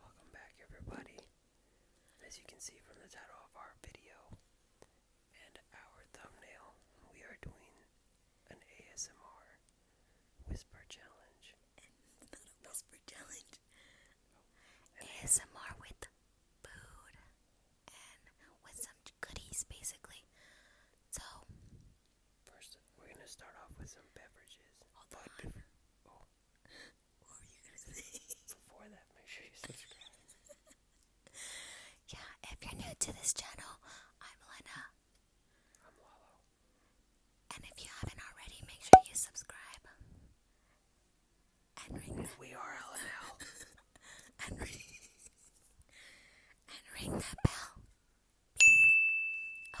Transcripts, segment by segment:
Welcome back everybody. As you can see from the title of our video and our thumbnail, we are doing an ASMR whisper challenge. not a whisper challenge. No. Oh, ASMR with food and with some goodies basically. So first we're gonna start off with some beverages. yeah, if you're new to this channel, I'm Lena. I'm Lalo. And if you haven't already, make sure you subscribe. And ring that. We are LNL. and ring. and ring that bell.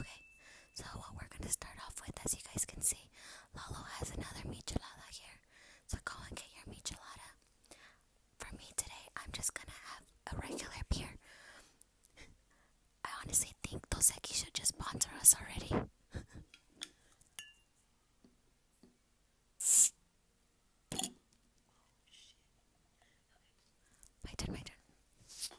Okay, so what we're gonna start off with, as you guys can see, Lalo has another michelada here. So go and get your michelada. For me today, I'm just gonna have a regular beer. I honestly think Toseki should just sponsor us already. Oh, my turn, my turn.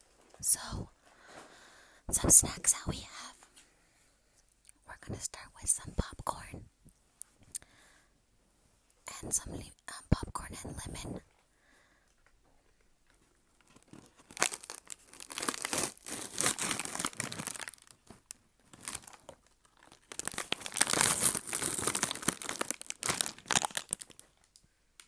So, some snacks that we have. We're gonna start with some popcorn and some um, popcorn and lemon.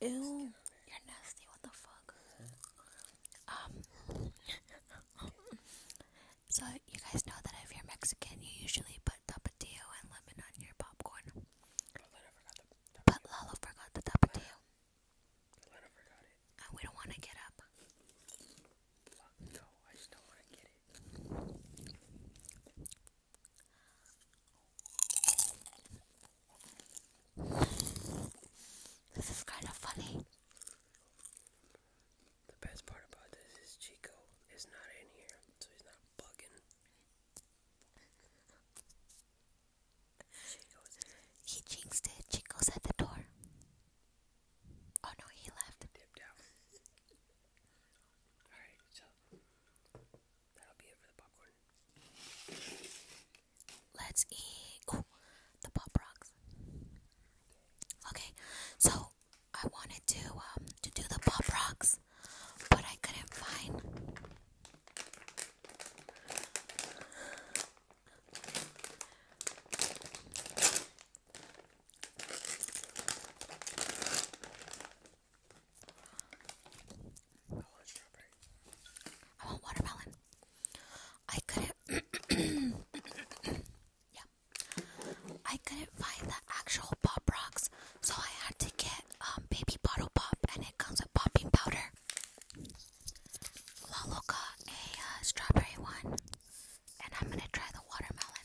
Ew, you're nasty. What the fuck? Um. so you guys know that if you're Mexican, you usually put tapatio and lemon on your popcorn. But Lalo forgot the tapatio. Lalo forgot it. we don't want to get up. This is kind of funny. The best part about this is Chico is not in here, so he's not bugging. He jinxed it. Chico's at the door. Oh no, he left. Alright, so That'll be it for the popcorn. Let's eat. the pop rocks. Okay, so I wanted to um to do the pop rocks, but I couldn't find. I want watermelon. I couldn't. yeah. I couldn't find the actual pop rocks, so I had to get um, baby bottle pop, and it comes with popping powder. Lalo got uh, a uh, strawberry one, and I'm gonna try the watermelon.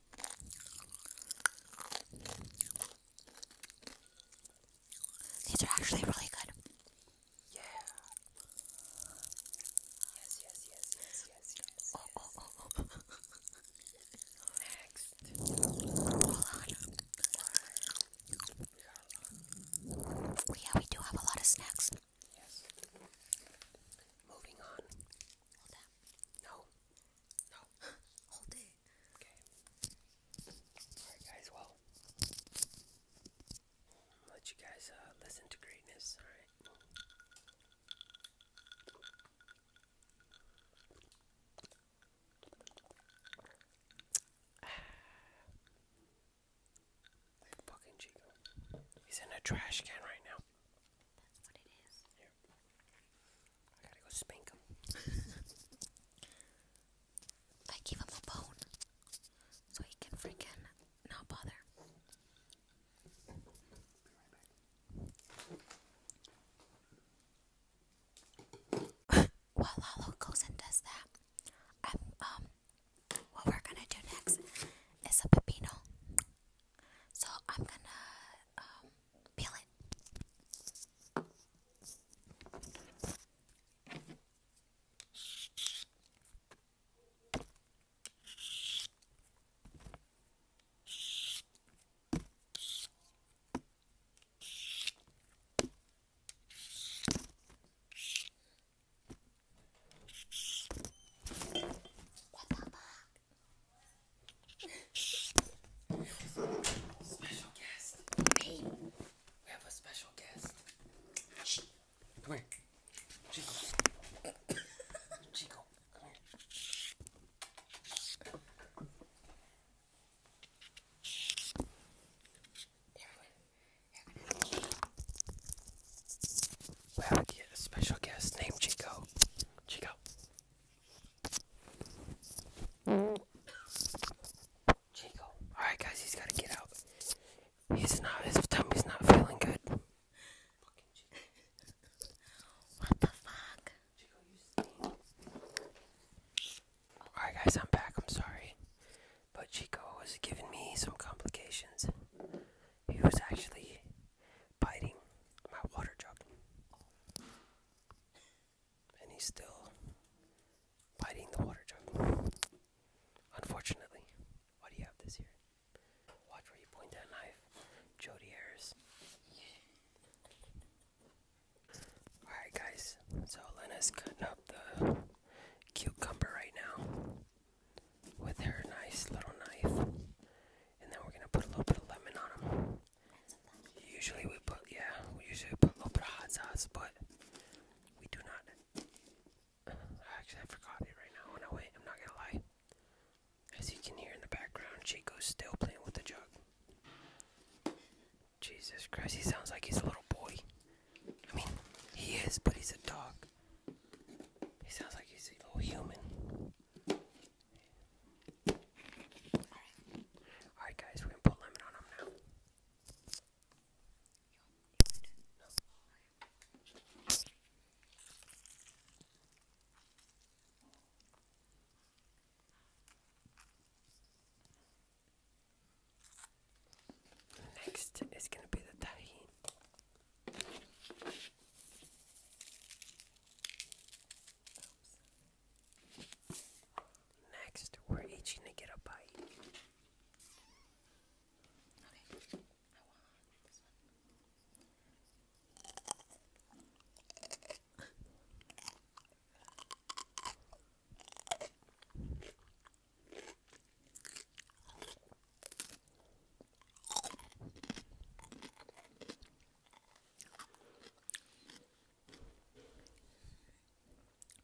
These are actually really good. Yeah. Yes, yes, yes, yes, yes, Next. Hold on. Yeah, we do have a lot of snacks. Yes. Moving on. No. No. Hold it. Okay. Alright guys, well let you guys uh, listen to greatness, alright? Fucking Chico. He's in a trash can right now. I gotta go spank him. a bone so he can freaking not bother. While Lalo goes and does that, um, what we're gonna do next is a pepino. So I'm gonna um, peel it special guest. Hey. We have a special guest. Shh. Come here. Chico. Chico. Come here. Everyone. Everyone we have a special guest named Chico. Chico. Chico. Alright, guys, he's gotta get out. He's not, his tummy's not feeling good. what the fuck? Alright, guys, I'm back. I'm sorry. But Chico was giving me some complications. He was actually biting my water jug. And he's still biting the water jug. Unfortunately. what do you have this here? Watch where you point that knife. Jody Harris. Alright guys, so Lena's cutting up the cucumber right now with her nice little knife, and then we're gonna put a little bit of lemon on them. Usually we put yeah, we usually put a little bit of hot sauce, but we do not. Uh, actually, I forgot it right now. Oh, no wait, I'm not gonna lie. As you can hear in the background, Chico's still playing with the jug. Jesus Christ, he sounds like he's a little boy. I mean, he is, but he's a dog. He sounds like he's a little human. Alright. guys, we're gonna put lemon on him now. Next is gonna be the tahini. Next, we're itching to get a bite.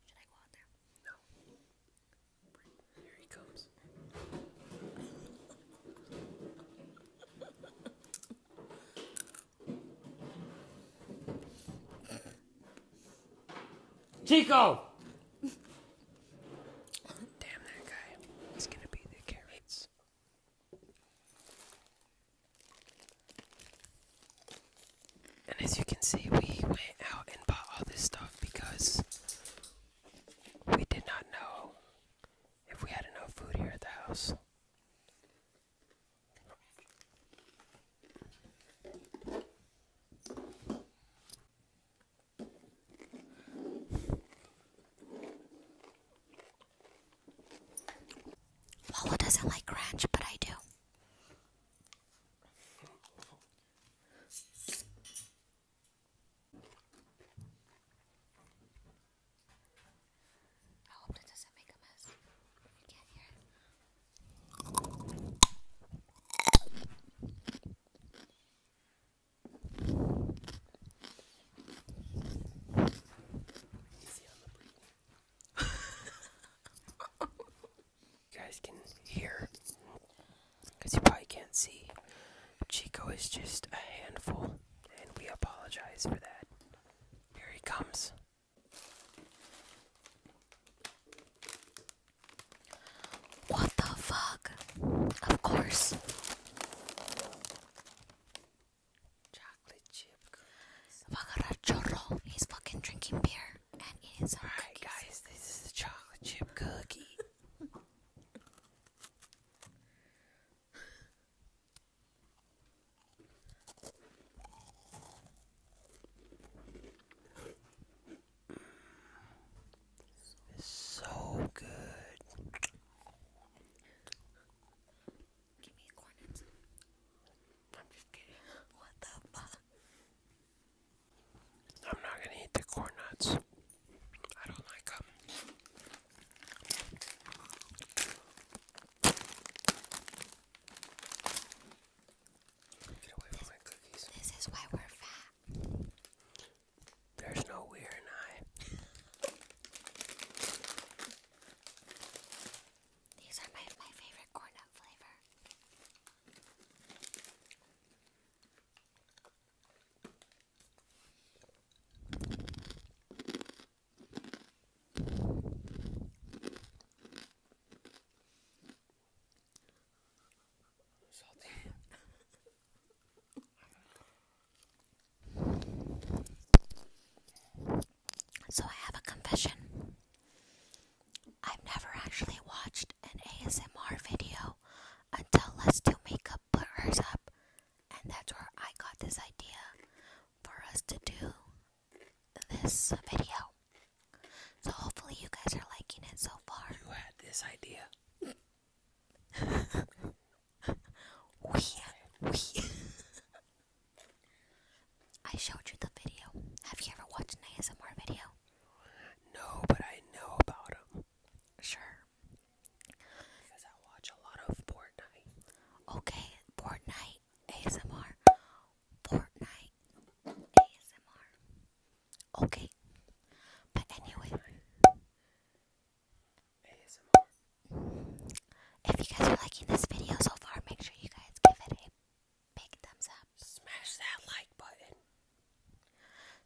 Should I go out there? No. Here he comes. Chico! Damn that guy. He's gonna be the carrots. And as you can see, we went out and bought all this stuff because we did not know if we had enough food here at the house. Lola doesn't like ranch, but I do. I hope that doesn't make a mess. I can't hear it you guys can hear, you probably can't see. Chico is just a handful, and we apologize for that. Here he comes. What the fuck? Of course. Chocolate chip cookies. Chorro. He's fucking drinking beer and eating some Alright guys, this is the chocolate chip cookie. It's so good. Give me a cornet. I'm just kidding. What the fuck? I'm not gonna eat the corn nuts. I don't like them. This is why we're fat. There's no weird in These are my, my favorite corn nut flavor. So I have a confession. I've never actually watched an ASMR video until Let's Do Makeup put hers up, and that's where I got this idea for us to do this video. So hopefully you guys are liking it so far. You had this idea. we, we. I showed you the video. Have you ever watched an ASMR video? No, but I know about them. Sure. Because I watch a lot of Fortnite. Okay, Fortnite ASMR. Fortnite ASMR. Okay. But anyway. If you guys are liking this video so far, make sure you guys give it a big thumbs up. Smash that like button.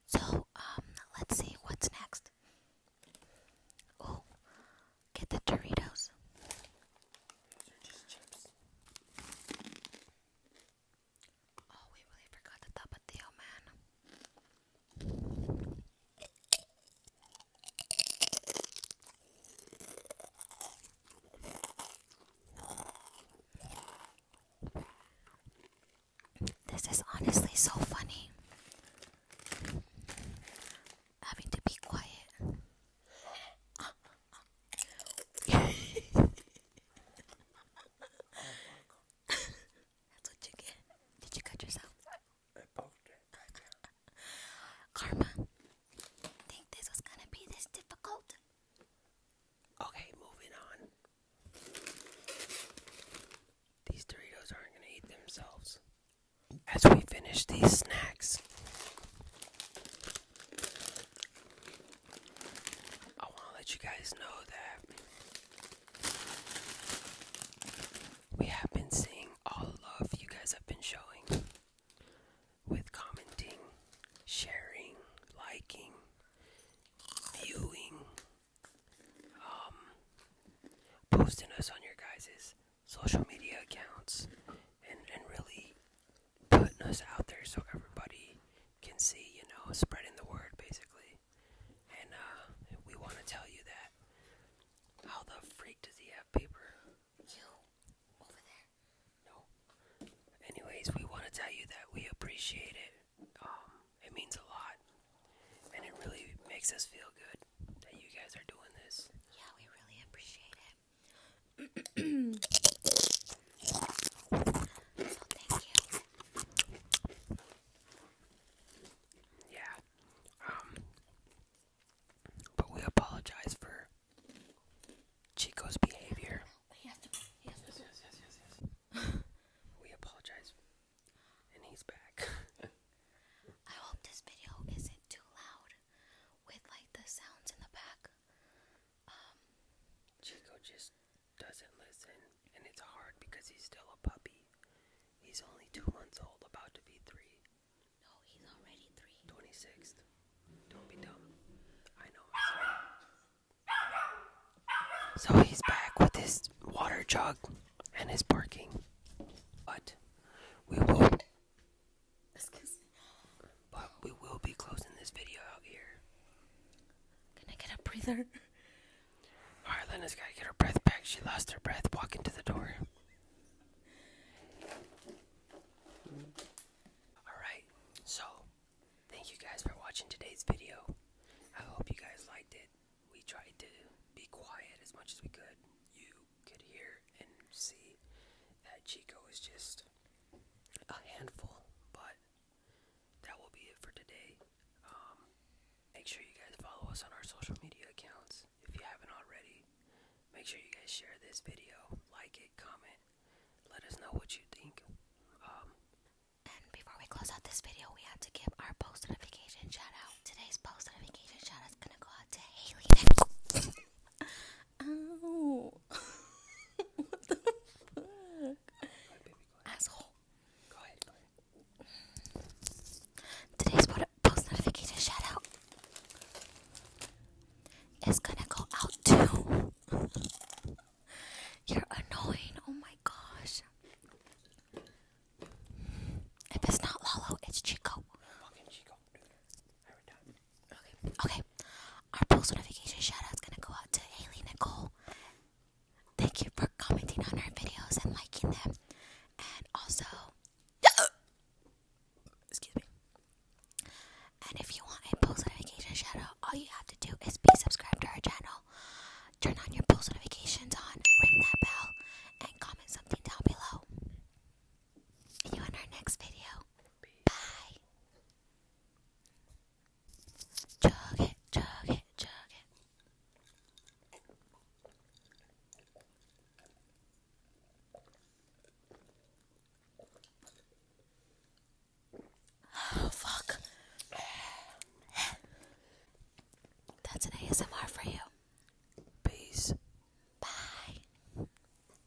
So, um, let's see what's next. Oh, get the Doritos. Oh, we really forgot the top it, Theo, man. This is honestly so funny. Having to be quiet. Ah, that's Did you cut yourself? I poked it. Karma, think this was gonna be this difficult? Okay, moving on. These Doritos aren't gonna eat themselves. As we finish these snacks, I want to let you guys know that we have been seeing all the love you guys have been showing with commenting, sharing, liking, viewing, um, posting us on your guys' social media accounts, and really putting us out there so everybody can see, you know, spreading the word basically. And uh, we want to tell you that. How the freak does he have paper? You, over there. No. Anyways, we want to tell you that we appreciate it. Um, it means a lot. And it really makes us feel good that you guys are doing this. Yeah, we really appreciate it. Yeah. Um but we apologize for Chico's behavior. yes, yes, yes, yes, yes. we apologize. And he's back. I hope this video isn't too loud with like the sounds in the back. Um, Chico just doesn't listen, and it's hard because he's still a puppy. He's only two months old, about to be three. No, he's already three. 26th. Don't be dumb. I know So he's back with his water jug and his barking. But we will not but we will be closing this video out here. Can I get a breather? Alright, Lena's gotta get her breath back. She lost her breath walking to the door. Alright, so thank you guys for watching today's video. I hope you guys liked it. We tried to be quiet as much as we could. You could hear and see that Chico is just a handful, but that will be it for today. Um, make sure you guys follow us on our social media accounts if you haven't already. Make sure you guys share this video, like it, comment, let us know what you think. Um, and before we close out this video, we have to give our post notification shout Today's post notification shout is gonna go out to Haley. Ow. what the fuck? Asshole. Go ahead, Today's post notification shout is gonna go out to You're annoying. Oh my gosh. If it's not Lolo, it's Chico. Fucking Chico. Every time. Okay, okay. Our post notification shout is gonna go out to Haley Nicole. Thank you for commenting on our videos and liking them. And also, excuse me. And if you want a post notification shout out, all you have to do is be subscribed to our channel, turn on your post notifications on, ring that bell, and comment something down below. See you in our next video. Bye. Chug it, chug it, chug it. Oh, fuck. That's an ASMR for you. Peace. Bye.